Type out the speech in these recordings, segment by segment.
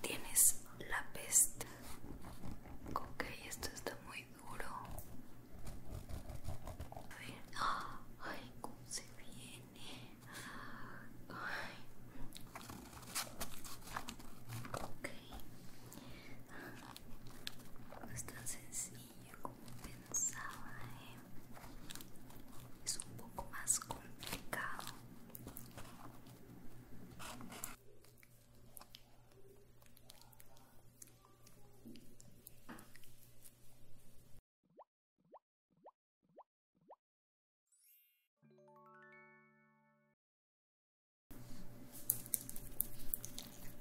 Tienes la peste. Ok, esto está muy duro. A ver. Ay, cómo se viene. Ay. Ok. No es tan sencillo como pensaba, ¿eh? es un poco más complicado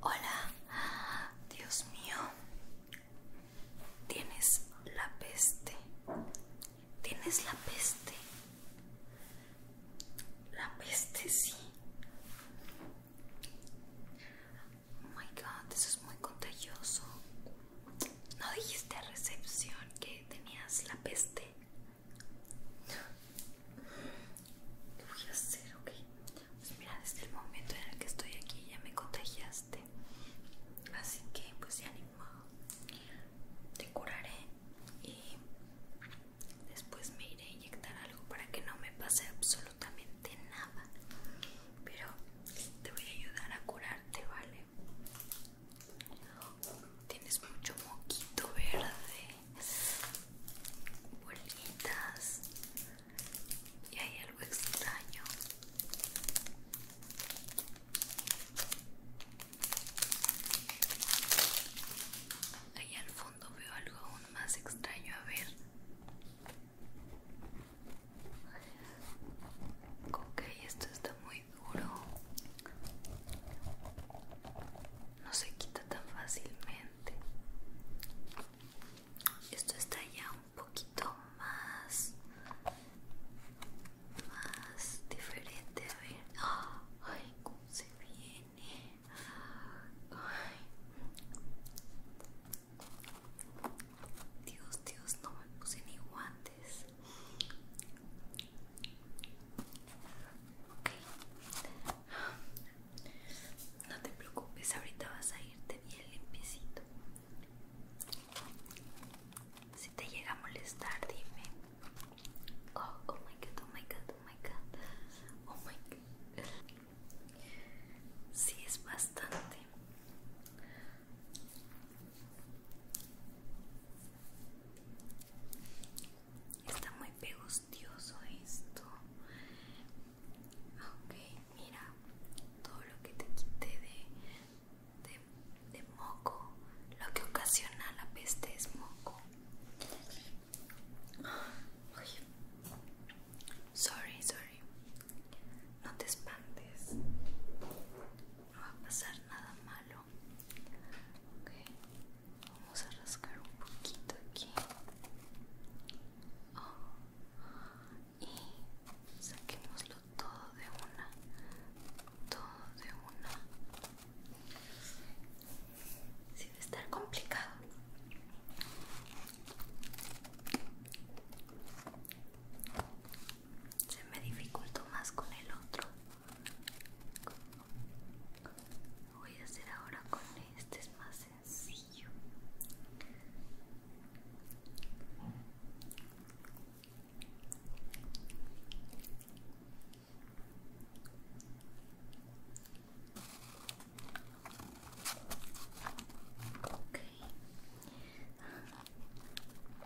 Hola, Dios mío, Tienes la peste. Tienes la peste. La peste, sí. Oh my god, eso es muy contagioso. ¿No dijiste a recepción que tenías la peste? ¿Qué voy a hacer? Ok. Pues mira, desde el momento en el que estoy aquí ya me contagiaste así que pues ya animo, te curaré y después me iré a inyectar algo para que no me pase absolutamente nada pero te voy a ayudar a curarte vale tienes mucho moquito verde bolitas y hay algo extraño Ahí al fondo veo algo aún más extraño, a ver. Ok, esto está muy duro. No se quita tan fácilmente. Esto está ya un poquito más más diferente a ver ay cómo se viene Dios Dios no me puse ni guantes ok no te preocupes ahorita vas a irte bien limpicito si te llega a molestar, dime. Oh, oh, my god, oh my god, oh my god. Oh my god. Sí, es bastante. Está muy pegostioso esto. Ok, mira todo lo que te quité de de, moco. Lo que ocasiona la peste es moco. Sorry, sorry. No te espantes. No va a pasar nada malo. Okay. Vamos a rascar un poquito aquí. Oh y saquémoslo todo de una, todo de una, sin estar complicado. Se me dificultó más con el otro. voy a hacer ahora con este, es más sencillo no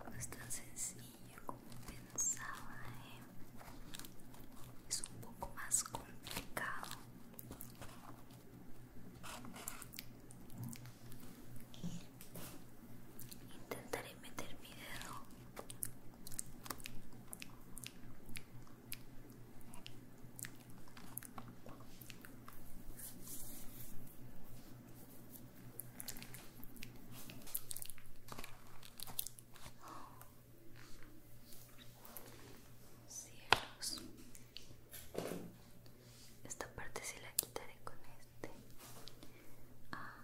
ah, es tan sencillo como pensaba, ¿eh? es un poco más complicado. Intentaré meter mi dedo cielos esta parte se la quitaré con este Ah,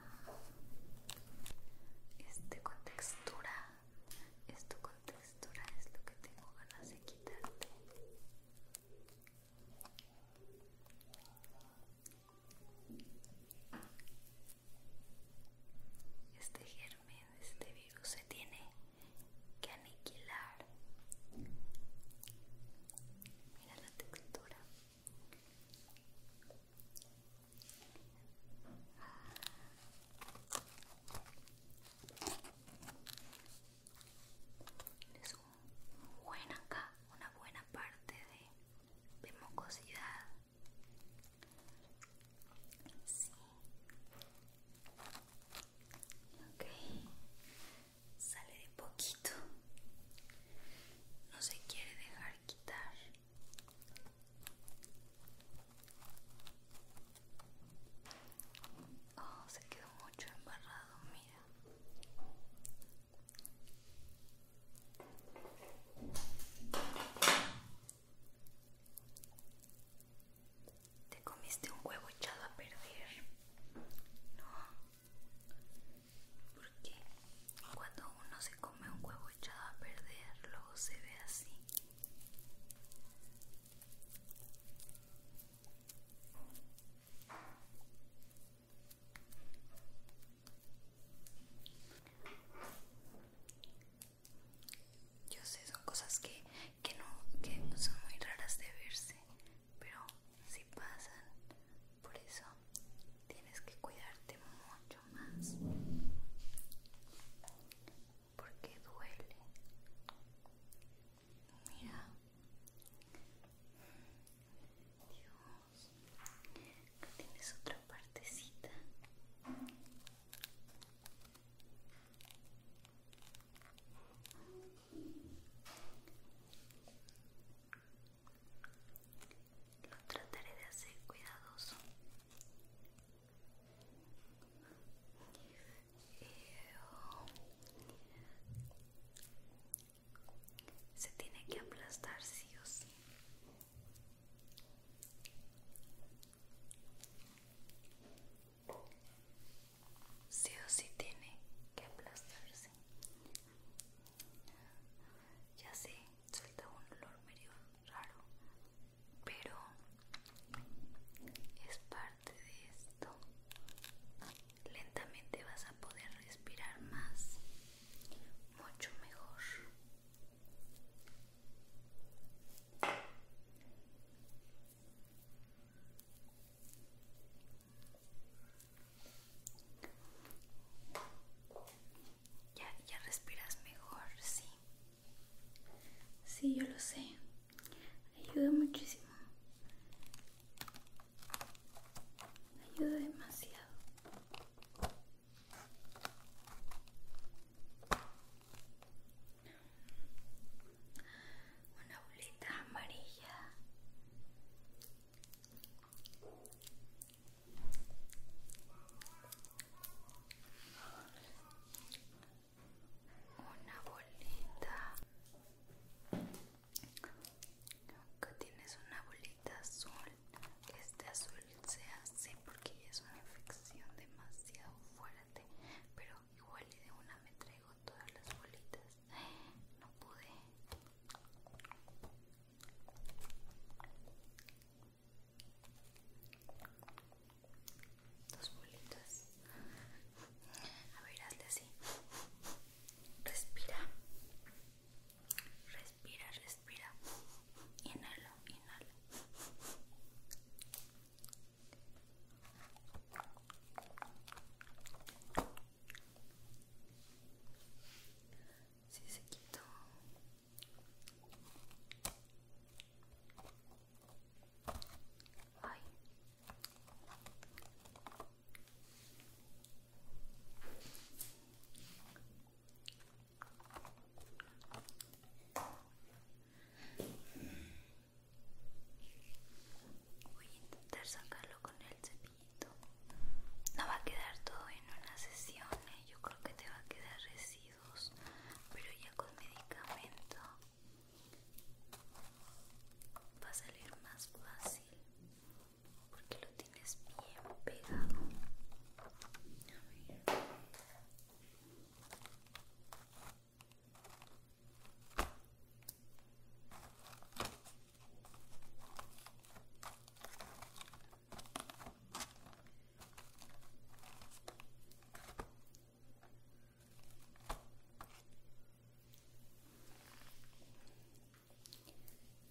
este con textura esto con textura es lo que tengo ganas de quitarte este germen, este virus se tiene que aniquilar. Mira la textura. Es un buen acá, una buena parte de, mucosidad mocosidad. Sí. Ok sale de poquito no se quiere dejar quitar oh se quedó mucho embarrado mira te comiste un huevo echado a perder no porque cuando uno se come un huevo echado a perder, luego se ve así. Yo sé, son cosas que, no, son muy raras de verse, pero si pasan, por eso tienes que cuidarte mucho más porque duele mira Dios tienes otra partecita lo trataré de hacer cuidadoso. Eh, se tiene que aplastar sí o sí. Sí o sí tiene que aplastarse. Ya sé, suelta un olor medio raro, pero es parte de esto. Lentamente vas a poder respirar más, mucho mejor. Ya, ya respiras mejor, sí. Sí, yo lo sé. Ayuda muchísimo. Ayuda demasiado. Una bolita amarilla una bolita nunca tienes una bolita azul este azul se hace porque es una infección demasiado fuerte pero igual y de una me traigo todas las bolitas no pude Dos bolitas. A ver, hazle así. Respira. Respira, respira. Inhala, inhala si se quitó. Voy a intentar sacarlo con el cepillo. No va a quedar todo en una sesión, ¿eh? yo creo que te va a quedar residuos, pero ya con medicamento va a salir más fácil porque lo tienes bien pegado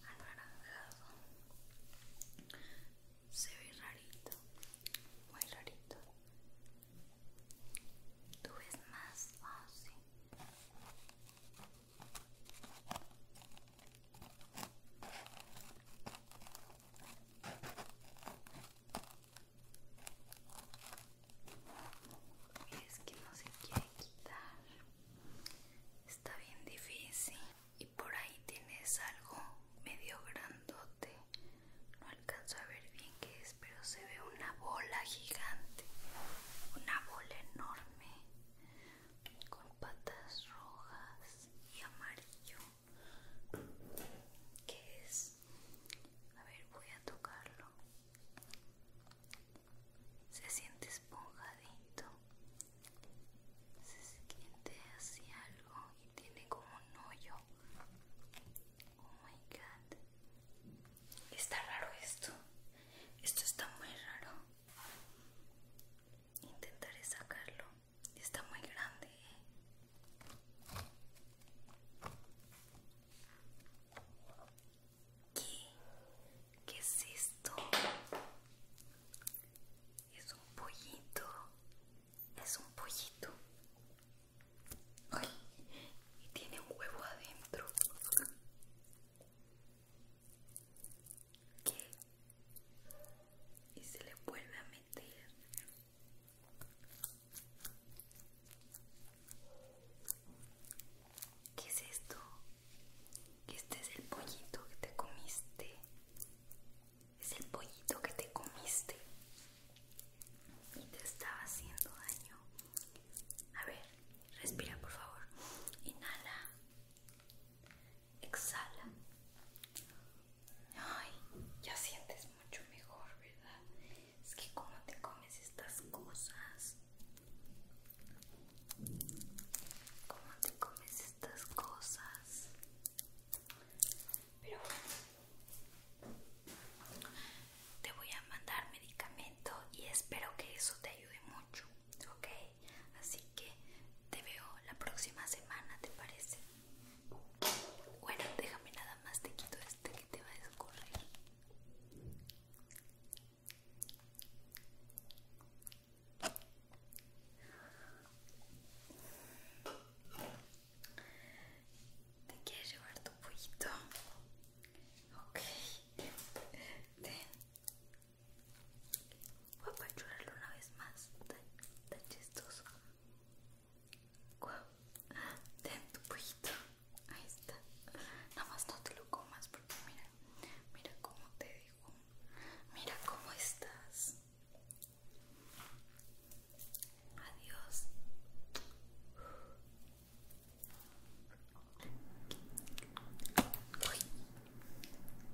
anaranjado se ve rarito muy rarito tú ves más fácil es que no se quiere quitar. Está bien difícil. Y por ahí tienes algo medio grandote. No alcanzo a ver bien qué es, pero se ve una bola gigante. Una bola enorme con patas rojas y amarillo que es a ver voy a tocarlo se siente esponjadito se siente así algo y tiene como un hoyo oh my god está raro esto esto está muy raro Intentaré sacarlo. Está muy grande. ¿eh? ¿Qué? ¿Qué es esto? Es un pollito. Es un pollito. y tiene un huevo adentro. ¿Qué? Y se le vuelve a meter. ¿Qué es esto? Este es el pollito que te comiste. Es el pollito que te comiste. Y te estaba haciendo daño. A ver, respira por favor. Inhala exhala. Ay, ya sientes mucho mejor, ¿verdad? Es que como te comes estas cosas. Cómo te comes estas cosas. Pero bueno, te voy a mandar medicamento y espero que eso te ayude mucho ok así que te veo la próxima semana te parece bueno déjame nada más te quito este que te va a escurrir ¿Te quieres llevar tu pollito? Ok. Ten. Voy a apachurarlo una vez más. Tan, chistoso. Ten tu Ahí está. Nada más no te lo comas porque mira, mira cómo te digo. Mira cómo estás. Adiós.